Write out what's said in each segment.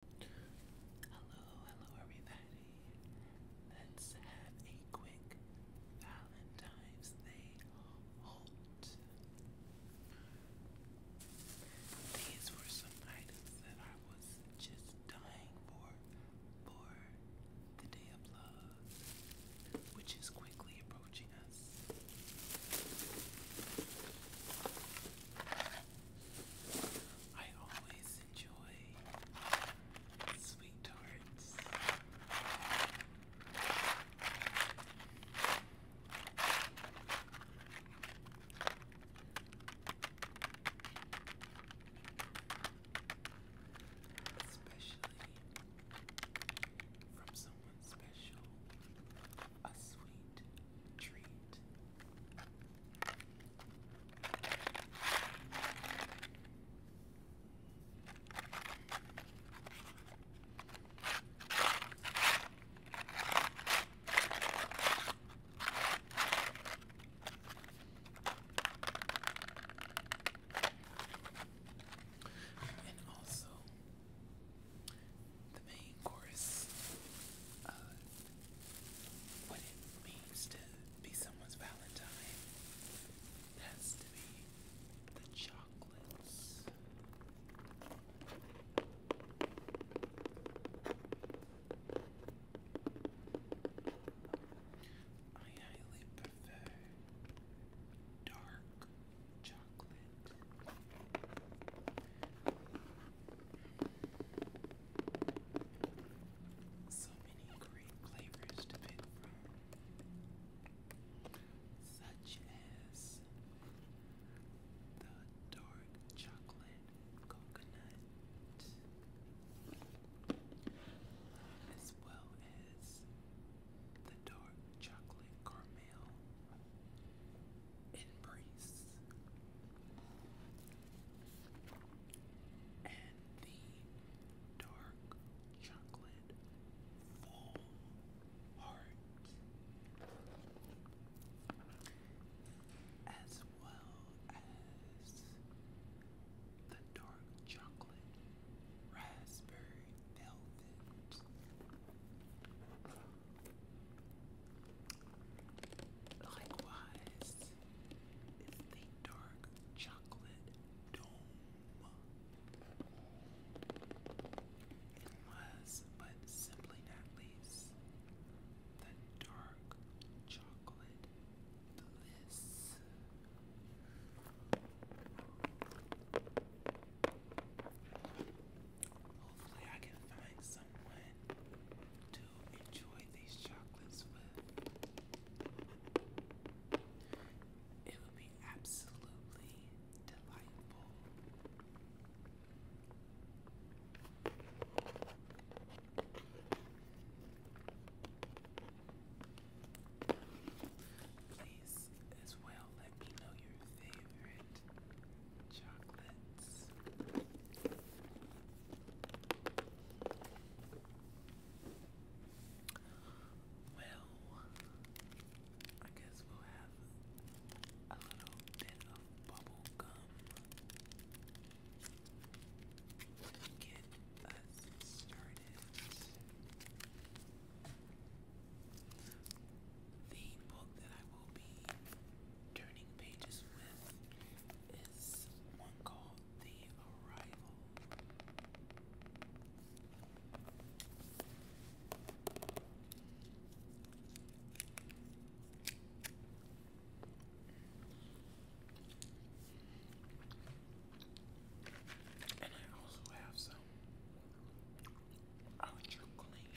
Hello, hello everybody. Let's have a quick Valentine's Day haul. These were some items that I was just dying for for the day of love, which is quickly approaching us. I always enjoy sweet tarts. Especially from someone special, a sweet treat. And also, the main chorus uh, what it means to be someone's Valentine has to be the chocolates. I highly prefer dark chocolate. So many great flavors to pick from, such as the dark chocolate coconut, as well as the dark chocolate caramel embrace. And the dark chocolate full heart, as well as the dark chocolate raspberry velvet. Likewise, it's the dark chocolate dome. It was, but simply not least, the dark chocolate bliss. Hopefully, I can find someone to enjoy these chocolates with. It would be absolutely delightful. Please, as well, let me know your favorite chocolates. Well, I guess we'll have a little bit of bubble gum to get us started. The book that I will be turning pages with is one called The Arrival. And I also have some ultra clean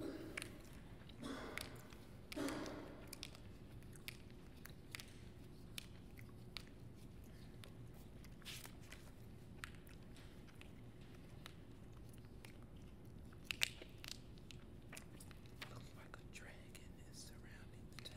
Looks like a dragon is surrounding the town.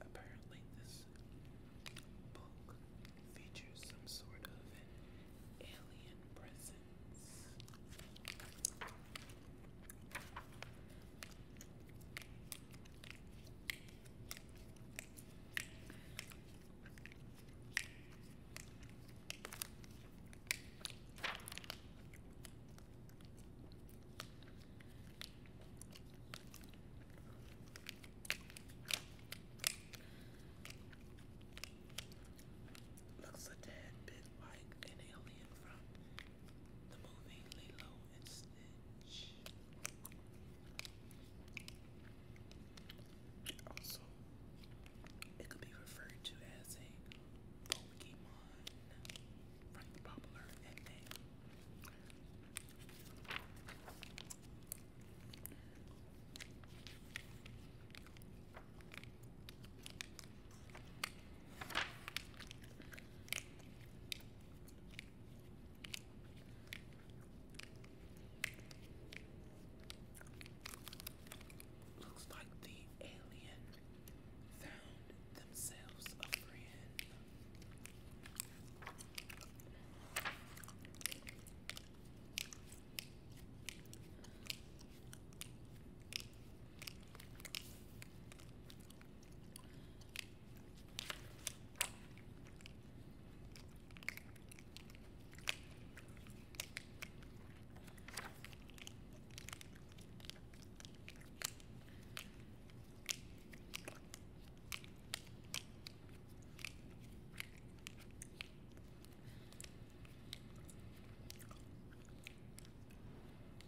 Apparently, this book features some sort of alien presence. Looks a tad bit like an alien from the movie Lilo and also, it could be referred to as a Pokemon from the popular nickname. Looks like the alien found themselves a friend.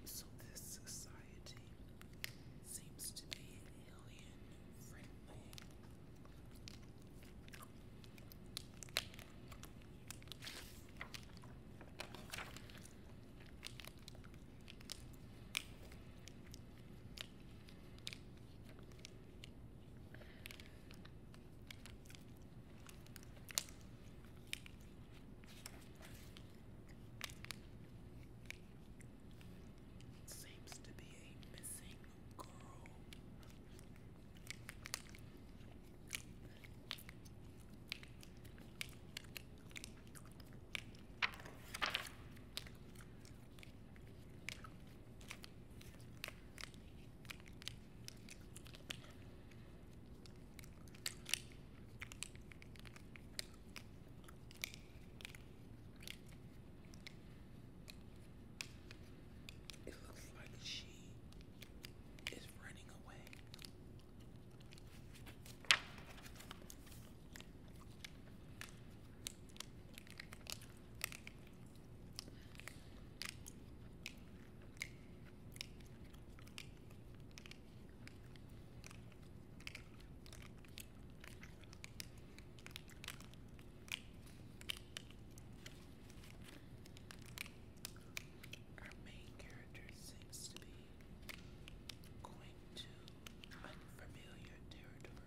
So this side seems to be alien friendly. Seems to be a missing girl. It looks like she is running away. Our main character seems to be going to unfamiliar territory.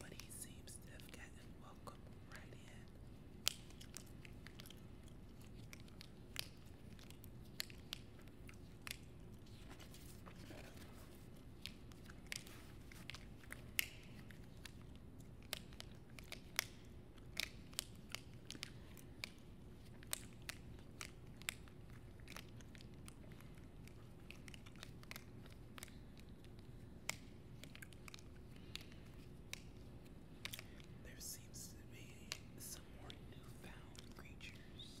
But he seems to have gotten welcome right in. There seems to be some more newfound creatures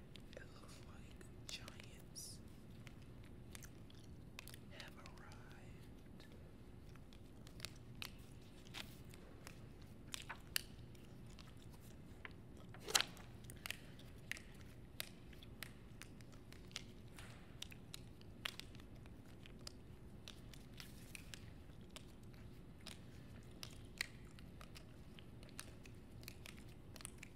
It looks like giants have arrived. Very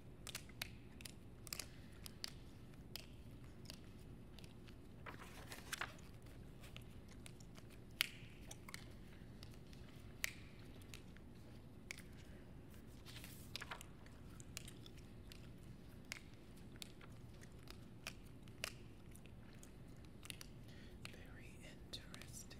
interesting.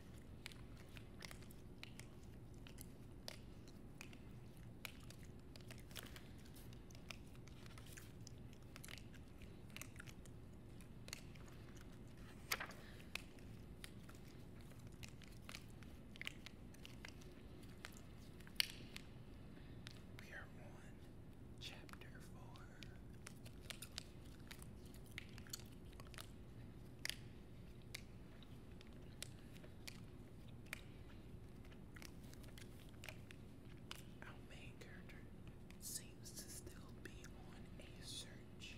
We are on chapter four. Our main seems to still be on a search.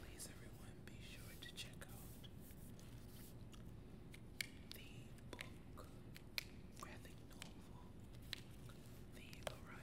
Please, everyone, be sure to check out the book, graphic novel, The Arrival.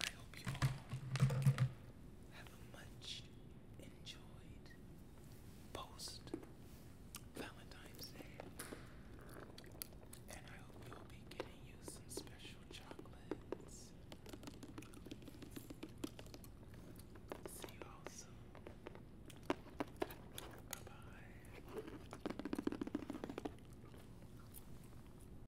I hope you all have a much enjoyed post Valentine's Day. And I hope you'll be getting you some special chocolates. See you all soon. Bye bye.